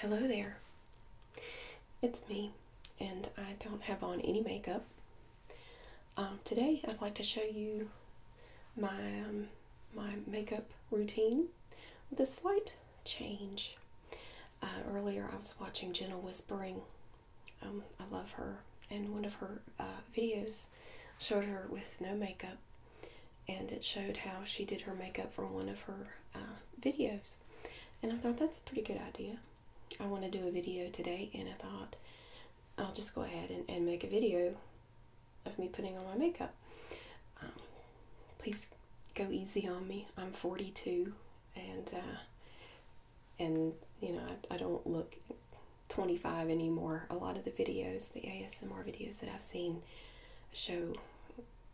Hello there. It's me, and I don't have on any makeup. Um, today, I'd like to show you my um, my makeup routine with a slight change. Uh, earlier, I was watching Jenna Whispering. Um, I love her, and one of her uh, videos showed her with no makeup, and it showed how she did her makeup for one of her uh, videos and I thought that's a pretty good idea. I want to do a video today, and I thought I'll just go ahead and, make a video of me putting on my makeup. Um, please go easy on me. I'm 42, and uh, and you know I don't look 25 anymore. A lot of the videos, the ASMR videos that I've seen, show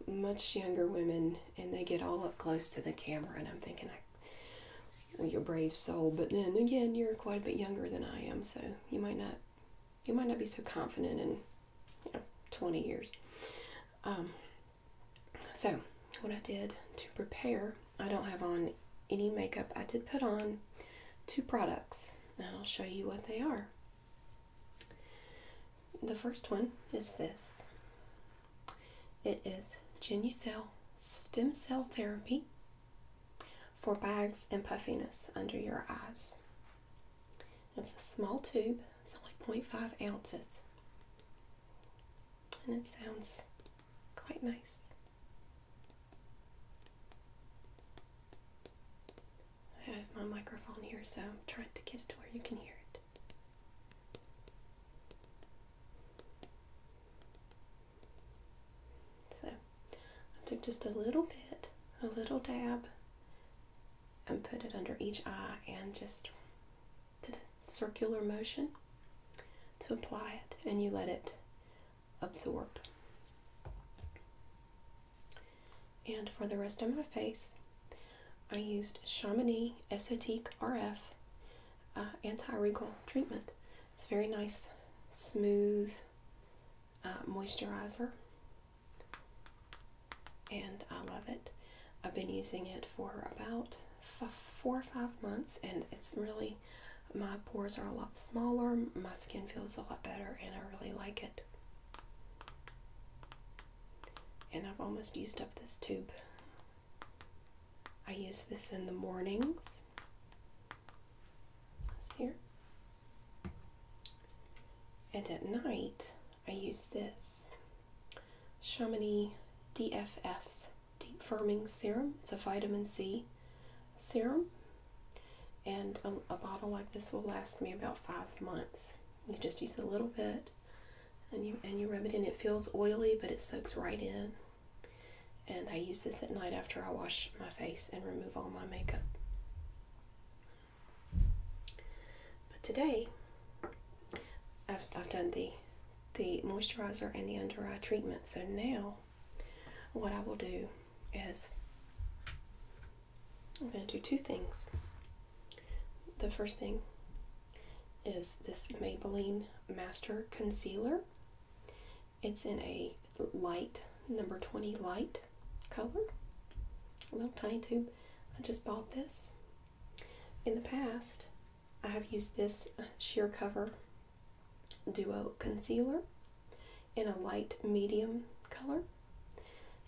much younger women and they get all up close to the camera and I'm thinking I you're a brave soul but then again you're quite a bit younger than I am so you might not you might not be so confident in you know 20 years um, so what I did to prepare I don't have on any makeup I did put on two products and I'll show you what they are the first one is this it is Genucell Stem Cell Therapy for bags and puffiness under your eyes. It's a small tube, it's only 0.5 ounces, and it sounds quite nice. I have my microphone here, so I'm trying to get it to where you can hear it. So I took just a little bit, a little dab, and put it under each eye and just did a circular motion to apply it, and you let it absorb. And for the rest of my face, I used Chamonix Esotique RF uh, anti-wrinkle treatment. It's a very nice, smooth uh, moisturizer, and I love it. I've been using it for about four or five months, and it's really my pores are a lot smaller, my skin feels a lot better, and I really like it. And I've almost used up this tube. I use this in the mornings. here. And at night, I use this Chamonix DFS Deep Firming Serum. It's a vitamin C serum. And a bottle like this will last me about five months. You just use a little bit and you and you rub it in. It feels oily, but it soaks right in. And I use this at night after I wash my face and remove all my makeup. But today, I've, I've done the the moisturizer and the under eye treatment. So now, what I will do is I'm going to do two things. The first thing is this Maybelline Master Concealer. It's in a light, number 20 light color, a little tiny tube. I just bought this. In the past, I have used this Sheer Cover Duo Concealer in a light medium color.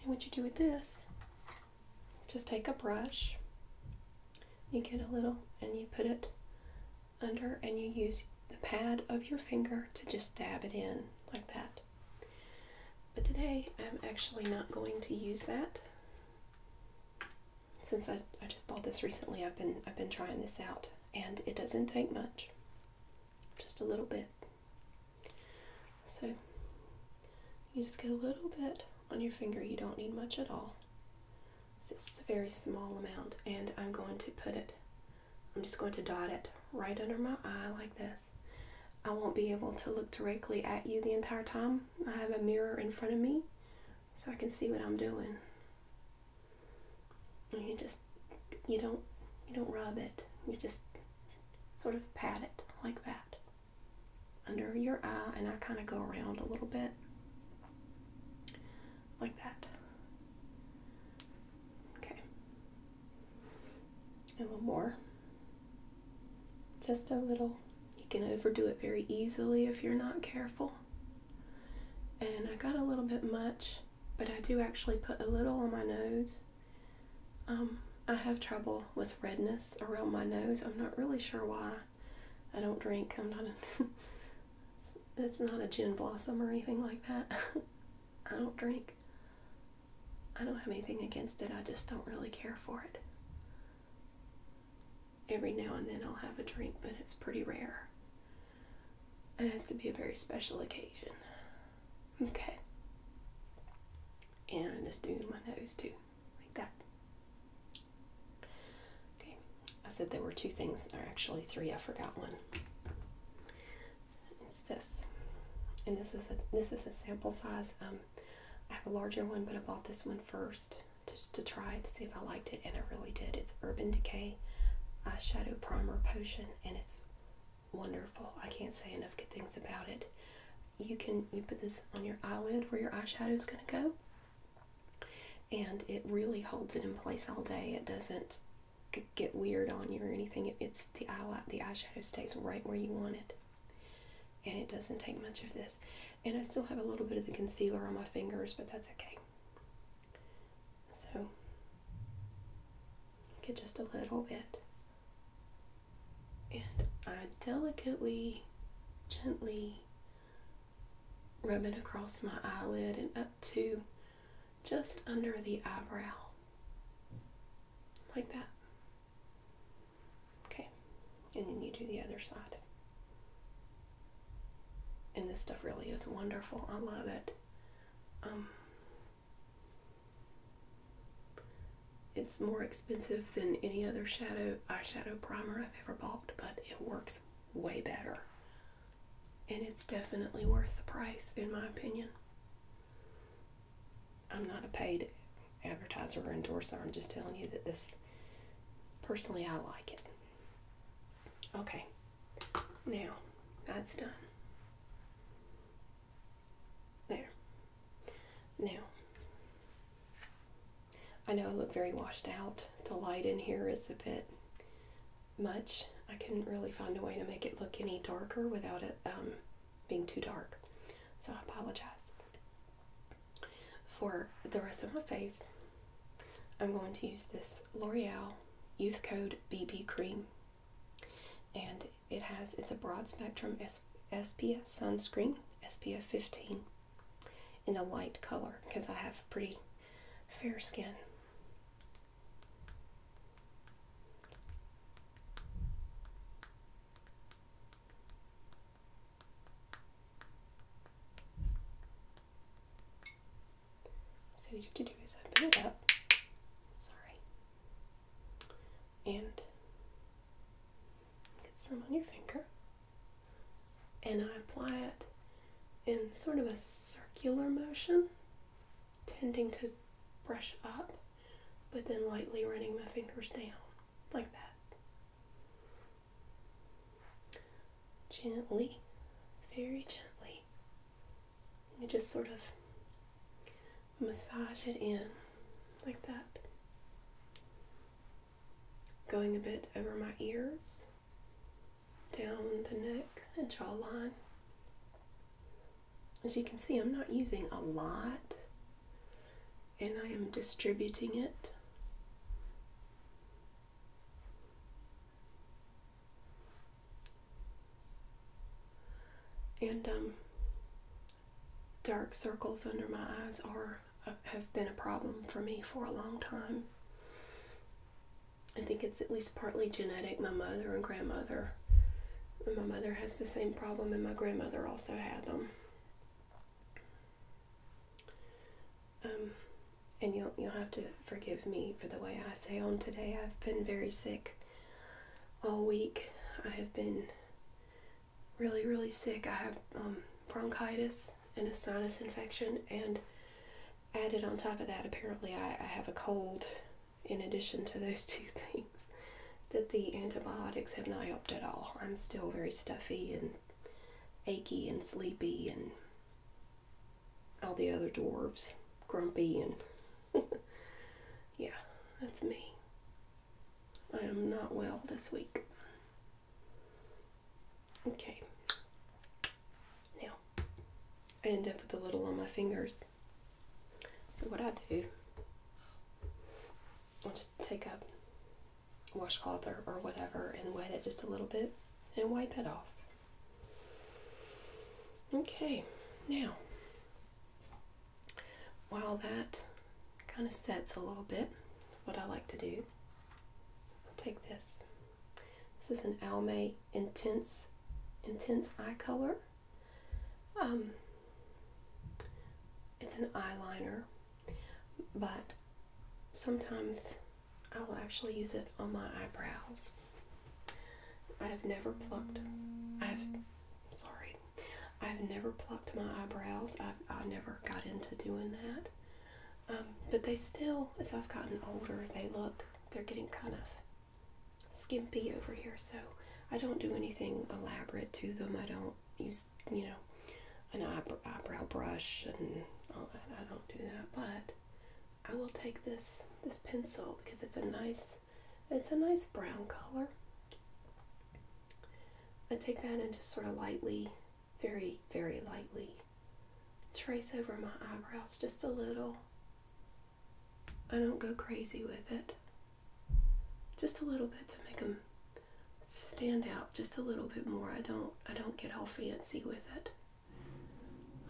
And what you do with this just take a brush, you get a little, and you put it under, and you use the pad of your finger to just dab it in like that. But today I'm actually not going to use that. Since I, I just bought this recently, I've been I've been trying this out and it doesn't take much. Just a little bit. So you just get a little bit on your finger. You don't need much at all. It's a very small amount, and I'm going to put it, I'm just going to dot it right under my eye like this. I won't be able to look directly at you the entire time. I have a mirror in front of me so I can see what I'm doing. And you just, you don't, you don't rub it. You just sort of pat it like that under your eye, and I kind of go around a little bit like that. Okay, and one more. Just a little. You can overdo it very easily if you're not careful. And I got a little bit much, but I do actually put a little on my nose. Um, I have trouble with redness around my nose. I'm not really sure why. I don't drink. I'm not it's not a gin blossom or anything like that. I don't drink. I don't have anything against it. I just don't really care for it. Every now and then I'll have a drink, but it's pretty rare. It has to be a very special occasion. Okay. And i just doing my nose too like that. Okay, I said there were two things, or actually three. I forgot one. It's this, and this is a this is a sample size. Um, I have a larger one, but I bought this one first just to try to see if I liked it, and I really did. It's Urban Decay Eyeshadow Primer Potion, and it's wonderful. I can't say enough good things about it you can you put this on your eyelid where your eyeshadow is going to go and it really holds it in place all day it doesn't get weird on you or anything it's the eyelight the eyeshadow stays right where you want it and it doesn't take much of this and I still have a little bit of the concealer on my fingers but that's okay so get just a little bit and I delicately, gently rub it across my eyelid and up to just under the eyebrow. Like that. Okay. And then you do the other side. And this stuff really is wonderful. I love it. Um, it's more expensive than any other shadow eyeshadow primer I've ever bought, but it works way better. And it's definitely worth the price, in my opinion. I'm not a paid advertiser or endorser. I'm just telling you that this, personally, I like it. Okay, now that's done. There. Now, I know I look very washed out. The light in here is a bit much. I couldn't really find a way to make it look any darker without it um, being too dark. So I apologize. For the rest of my face, I'm going to use this L'Oreal Youth Code BB Cream. And it has, it's a broad spectrum SPF sunscreen, SPF 15 in a light color because I have pretty fair skin. So what you have to do is open it up, sorry, and get some on your finger and I apply it in sort of a circular motion, tending to brush up, but then lightly running my fingers down like that. Gently, very gently. And just sort of massage it in like that going a bit over my ears, down the neck and jawline. As you can see, I'm not using a lot and I am distributing it. And um, dark circles under my eyes are have been a problem for me for a long time. I think it's at least partly genetic. My mother and grandmother. My mother has the same problem, and my grandmother also had them. Um, and you'll you'll have to forgive me for the way I sound today. I've been very sick all week. I have been really, really sick. I have um, bronchitis and a sinus infection, and added on top of that, apparently, I, I have a cold in addition to those two things that the antibiotics have not helped at all. I'm still very stuffy and achy and sleepy and all the other dwarves, grumpy and yeah, that's me. I am not well this week. Okay. Now, I end up with a little on my fingers. So what I do, i just take a washcloth or, or whatever and wet it just a little bit and wipe it off. Okay, now, while that kind of sets a little bit, what I like to do I'll take this. This is an Almay Intense Intense Eye Color. Um, it's an eyeliner, but sometimes I will actually use it on my eyebrows. I have never plucked. I've sorry. I've never plucked my eyebrows. I've I never got into doing that. Um, but they still, as I've gotten older, they look, they're getting kind of skimpy over here. So I don't do anything elaborate to them. I don't use, you know, an eyebrow brush and all that. I don't do that. But I will take this this pencil because it's a nice it's a nice brown color. I take that and just sort of lightly very, very lightly. Trace over my eyebrows just a little. I don't go crazy with it. Just a little bit to make them stand out just a little bit more. I don't I don't get all fancy with it.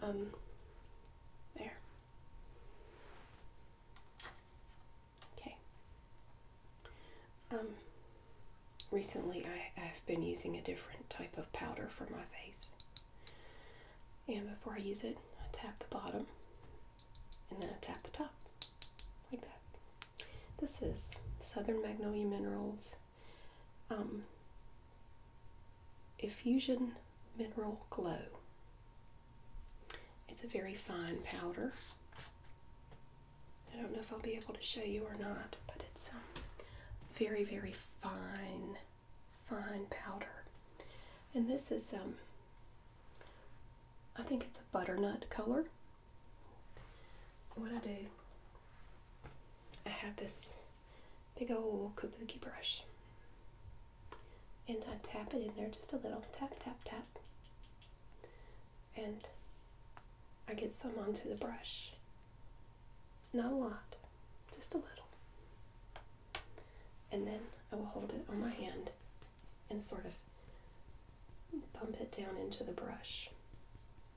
Um there. Okay. Um recently I, have been using a different type of powder for my face. And before I use it, I tap the bottom and then I tap the top like that. This is Southern Magnolia Minerals um, Effusion Mineral Glow. It's a very fine powder. I don't know if I'll be able to show you or not, but it's um, very, very fine, fine powder. And this is, um, I think it's a butternut color. What I do, I have this big old kabuki brush. And I tap it in there just a little. Tap, tap, tap and I get some onto the brush. Not a lot, just a little. And then I will hold it on my hand and sort of bump it down into the brush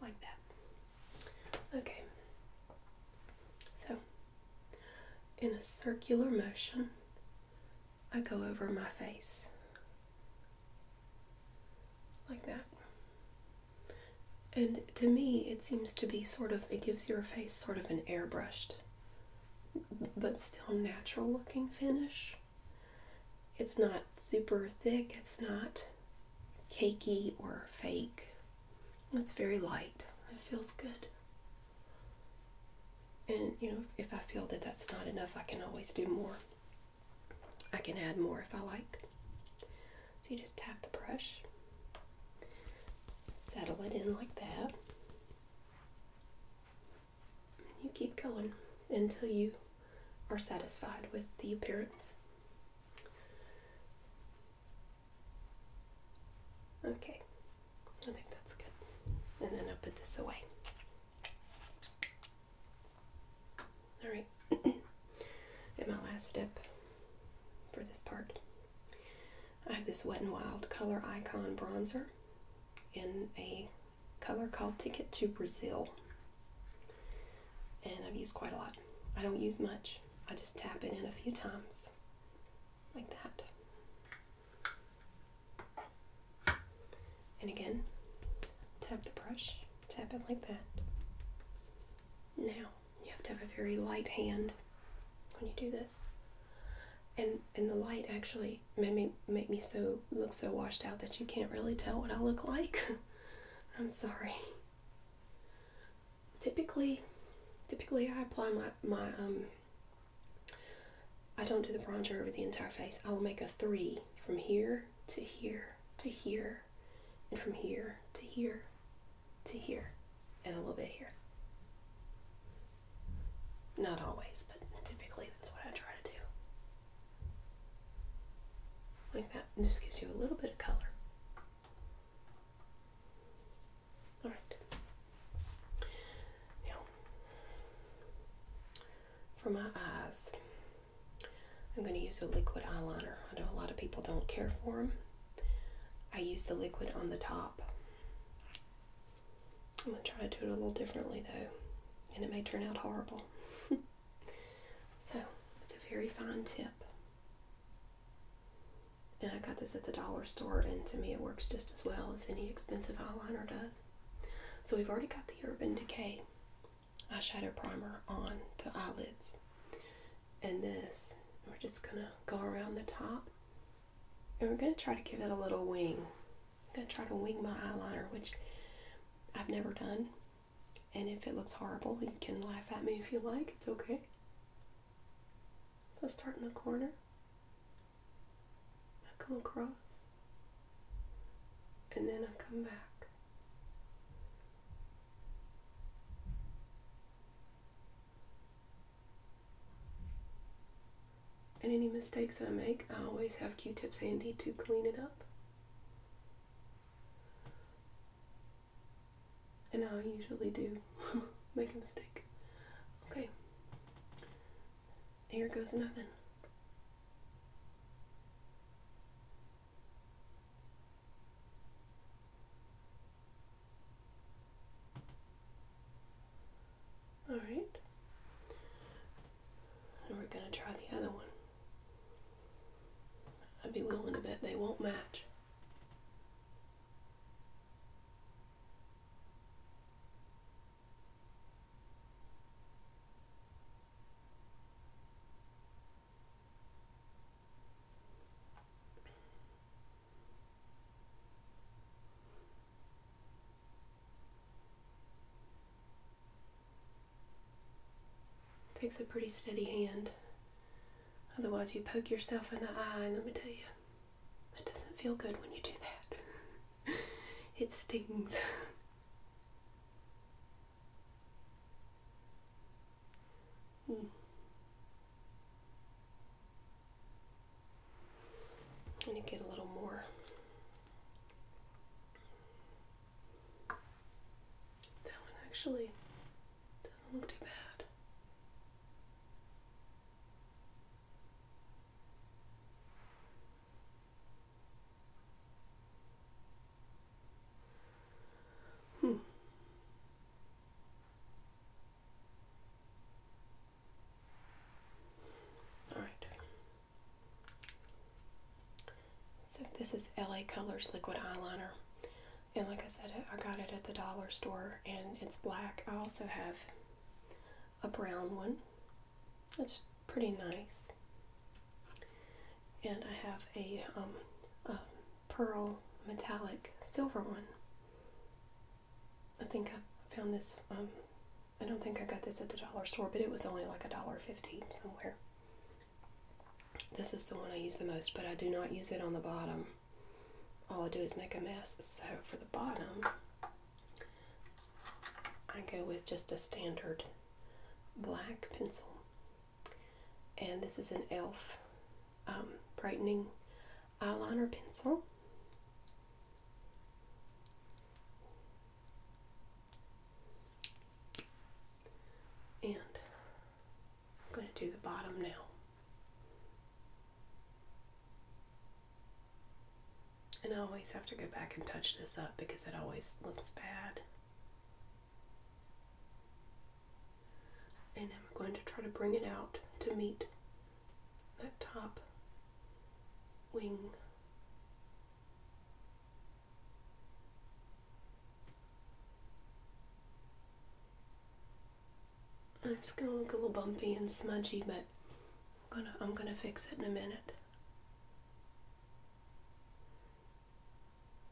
like that. Okay. So, in a circular motion, I go over my face like that. And to me, it seems to be sort of, it gives your face sort of an airbrushed, but still natural looking finish. It's not super thick, it's not cakey or fake. It's very light. It feels good. And, you know, if I feel that that's not enough, I can always do more. I can add more if I like. So you just tap the brush, settle it in like that. You keep going until you are satisfied with the appearance. Okay, I think that's good. And then I'll put this away. All right, and my last step for this part, I have this Wet n Wild Color Icon Bronzer in a color called Ticket to Brazil. And I've used quite a lot. I don't use much. I just tap it in a few times like that. And again, tap the brush. Tap it like that. Now, you have to have a very light hand when you do this. And, and the light actually made me, made me so look so washed out that you can't really tell what I look like. I'm sorry. Typically, typically I apply my, my um, I don't do the bronzer over the entire face. I will make a three from here to here to here, and from here to here to here, and a little bit here. Not always, but typically that's what I try to do. Like that, just gives you a little bit of color. Alright. Now, for my eyes, I'm going to use a liquid eyeliner. I know a lot of people don't care for them. I use the liquid on the top. I'm going to try to do it a little differently though, and it may turn out horrible. so, it's a very fine tip. And I got this at the dollar store, and to me it works just as well as any expensive eyeliner does. So we've already got the Urban Decay eyeshadow primer on the eyelids. And this, we're just going to go around the top and we're going to try to give it a little wing. I'm going to try to wing my eyeliner, which I've never done. And if it looks horrible, you can laugh at me if you like, it's okay. So start in the corner. I come across. And then I come back. And any mistakes I make, I always have Q-tips handy to clean it up. And I usually do make a mistake. Okay. Here goes nothing. All right. And we're going to try the other one. I'd be willing to bet they won't match takes a pretty steady hand. Otherwise, you poke yourself in the eye, and let me tell you, that doesn't feel good when you do that. it stings. Let hmm. me get a little more. That one actually doesn't look too bad. Hmm. All right. So this is LA Colors liquid eyeliner. And like I said, I got it at the dollar store and it's black. I also have a brown one. It's pretty nice and I have um, a, pearl metallic silver one. I think I found this, um, I don't think I got this at the dollar store, but it was only like a dollar fifty somewhere. This is the one I use the most, but I do not use it on the bottom. All I do is make a mess. So for the bottom, I go with just a standard black pencil and this is an e.l.f. Um, brightening eyeliner pencil. And I'm going to do the bottom now. And I always have to go back and touch this up because it always looks bad. And I'm going to try to bring it out to meet that top wing. It's gonna look a little bumpy and smudgy, but I'm gonna fix it in a minute.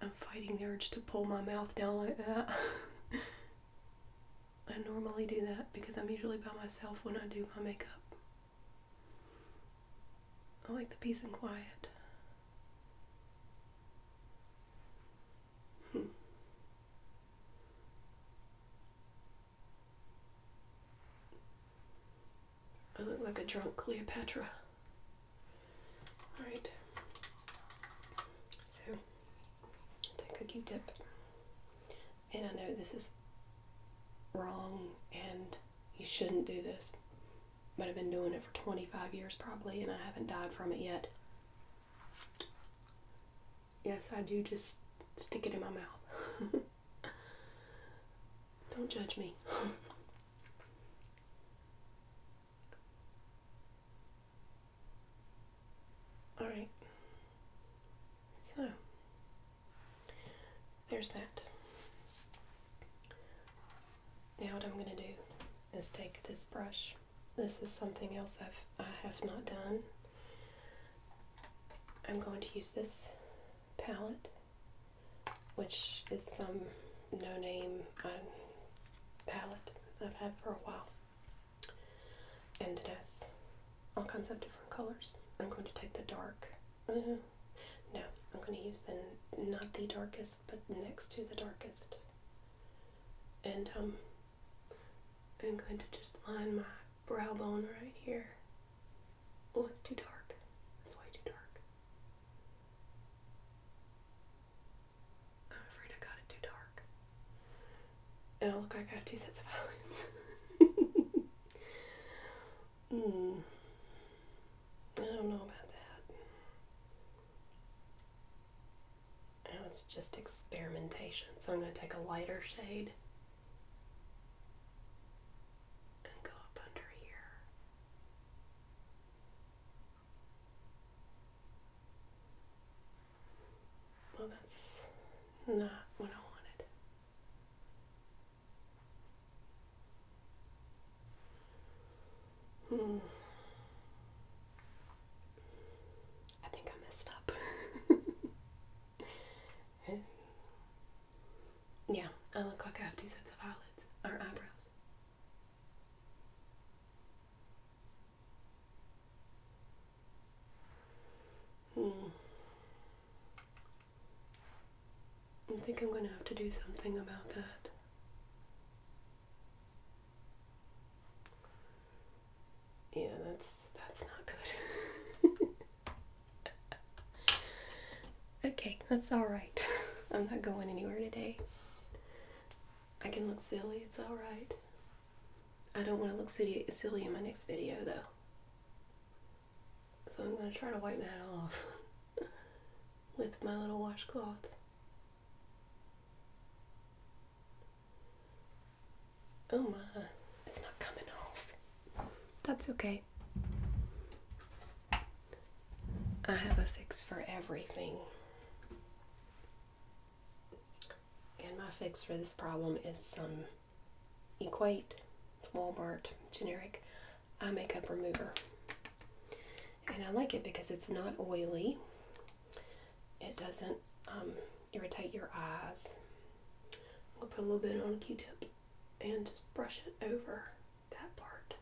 I'm fighting the urge to pull my mouth down like that. I normally do that because I'm usually by myself when I do my makeup. I like the peace and quiet. Hmm. I look like a drunk Cleopatra. Alright, so take cookie dip, and I know this is wrong and you shouldn't do this, but I've been doing it for 25 years probably, and I haven't died from it yet. Yes, I do just stick it in my mouth. Don't judge me. Alright, so there's that. Now, what I'm going to do is take this brush. This is something else I've, I have not done. I'm going to use this palette, which is some no name. Um, palette I've had for a while. And it has all kinds of different colors. I'm going to take the dark. Mm-hmm. no, I'm going to use the not the darkest, but next to the darkest. And um, I'm going to just line my brow bone right here. Oh, it's too dark. It's way too dark. I'm afraid I got it too dark. And oh, I look like I have two sets of eyelids. Hmm. I don't know about that. it's just experimentation. So I'm going to take a lighter shade. And go up under here. Well, that's not what I wanted. Hmm. I think I messed up. yeah, I look like I have two sets of eyelids or eyebrows. Hmm. I think I'm going to have to do something about that. Yeah, that's that's not good. okay, that's all right. I'm not going anywhere today. I can look silly, it's alright. I don't want to look silly, silly in my next video though. So I'm going to try to wipe that off with my little washcloth. Oh my, it's not coming off. That's okay. I have a fix for everything. And my fix for this problem is some Equate, it's Walmart, generic eye makeup remover. And I like it because it's not oily, it doesn't um, irritate your eyes. I'm going to put a little bit on a q-tip and just brush it over that part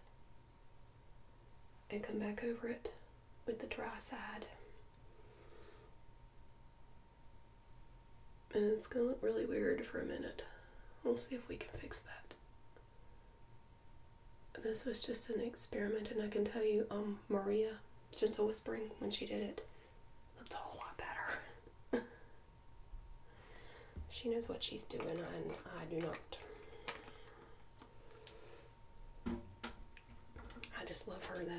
and come back over it with the dry side. And it's going to look really weird for a minute. We'll see if we can fix that. This was just an experiment, and I can tell you, um, Maria, Gentle Whispering, when she did it, looked a whole lot better. she knows what she's doing, and I do not. I just love her though.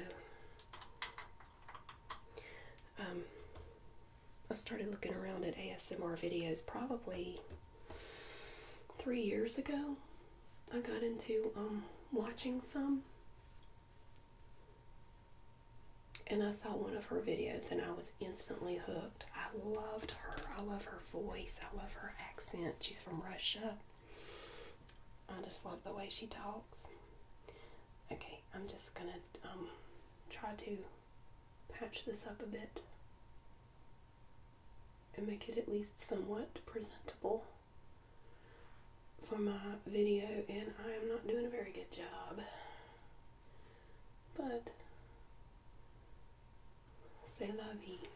Um, I started looking around at ASMR videos probably three years ago. I got into um, watching some. And I saw one of her videos and I was instantly hooked. I loved her. I love her voice. I love her accent. She's from Russia. I just love the way she talks. Okay, I'm just gonna um, try to patch this up a bit and make it at least somewhat presentable for my video and I am not doing a very good job but say la vie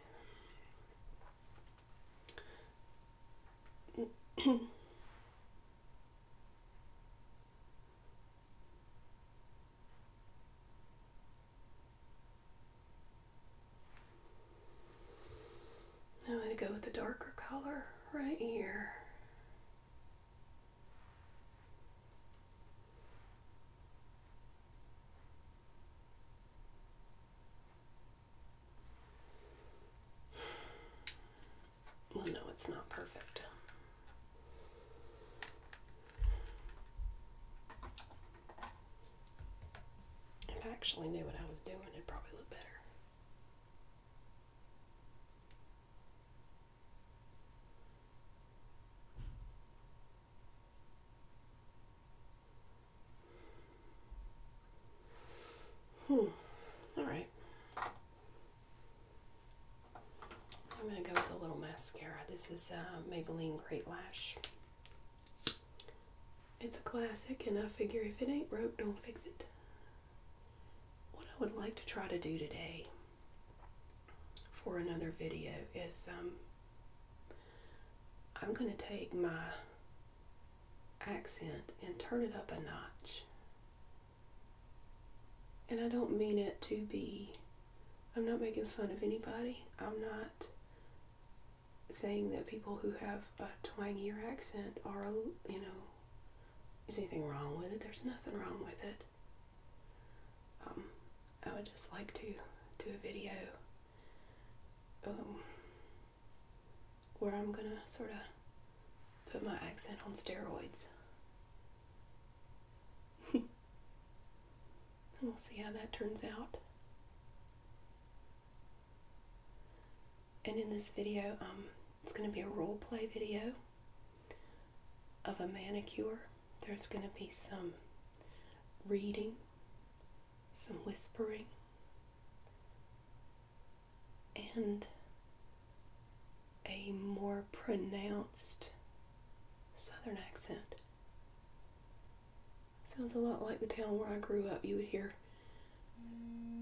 I'm going to go with the darker color right here. Well, no, it's not perfect. If I actually knew what I was doing, it'd probably look better. Hmm. All right. I'm going to go with a little mascara. This is uh, Maybelline Great Lash. It's a classic, and I figure if it ain't broke, don't fix it. What I would like to try to do today for another video is um, I'm going to take my accent and turn it up a notch. And I don't mean it to be, I'm not making fun of anybody. I'm not saying that people who have a twangier accent are, you know, is anything wrong with it. There's nothing wrong with it. Um, I would just like to do a video um, where I'm gonna sort of put my accent on steroids. and we'll see how that turns out. And in this video, um, it's going to be a role play video of a manicure. There's going to be some reading some whispering, and a more pronounced southern accent. Sounds a lot like the town where I grew up. You would hear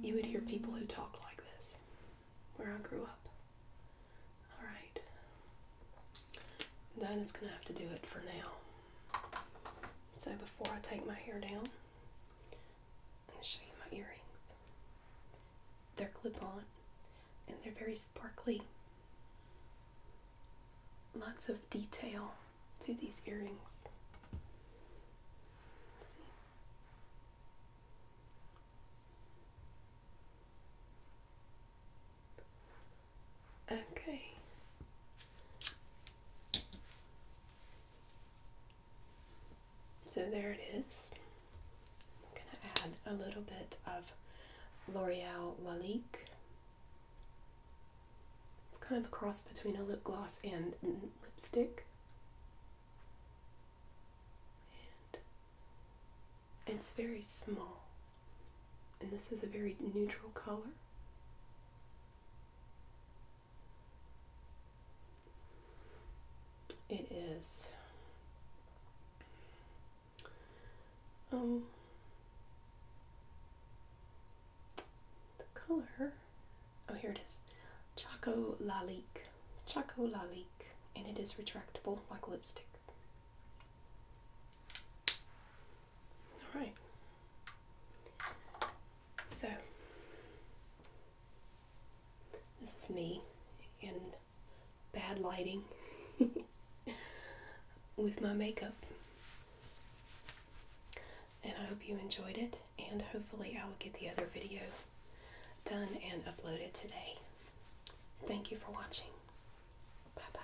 you would hear people who talk like this where I grew up. All right. That is going to have to do it for now. So before I take my hair down, I'm going to show you my earrings. They're clip-on and they're very sparkly. Lots of detail to these earrings. Okay. So there it is. I'm going to add a little bit of L'Oreal Lalique. It's kind of a cross between a lip gloss and lipstick. And it's very small. And this is a very neutral color. It is um the color oh here it is Choco Lalique Choco Lalique and it is retractable like lipstick. All right. So this is me in bad lighting with my makeup. And I hope you enjoyed it, and hopefully, I will get the other video done and uploaded today. Thank you for watching. Bye bye.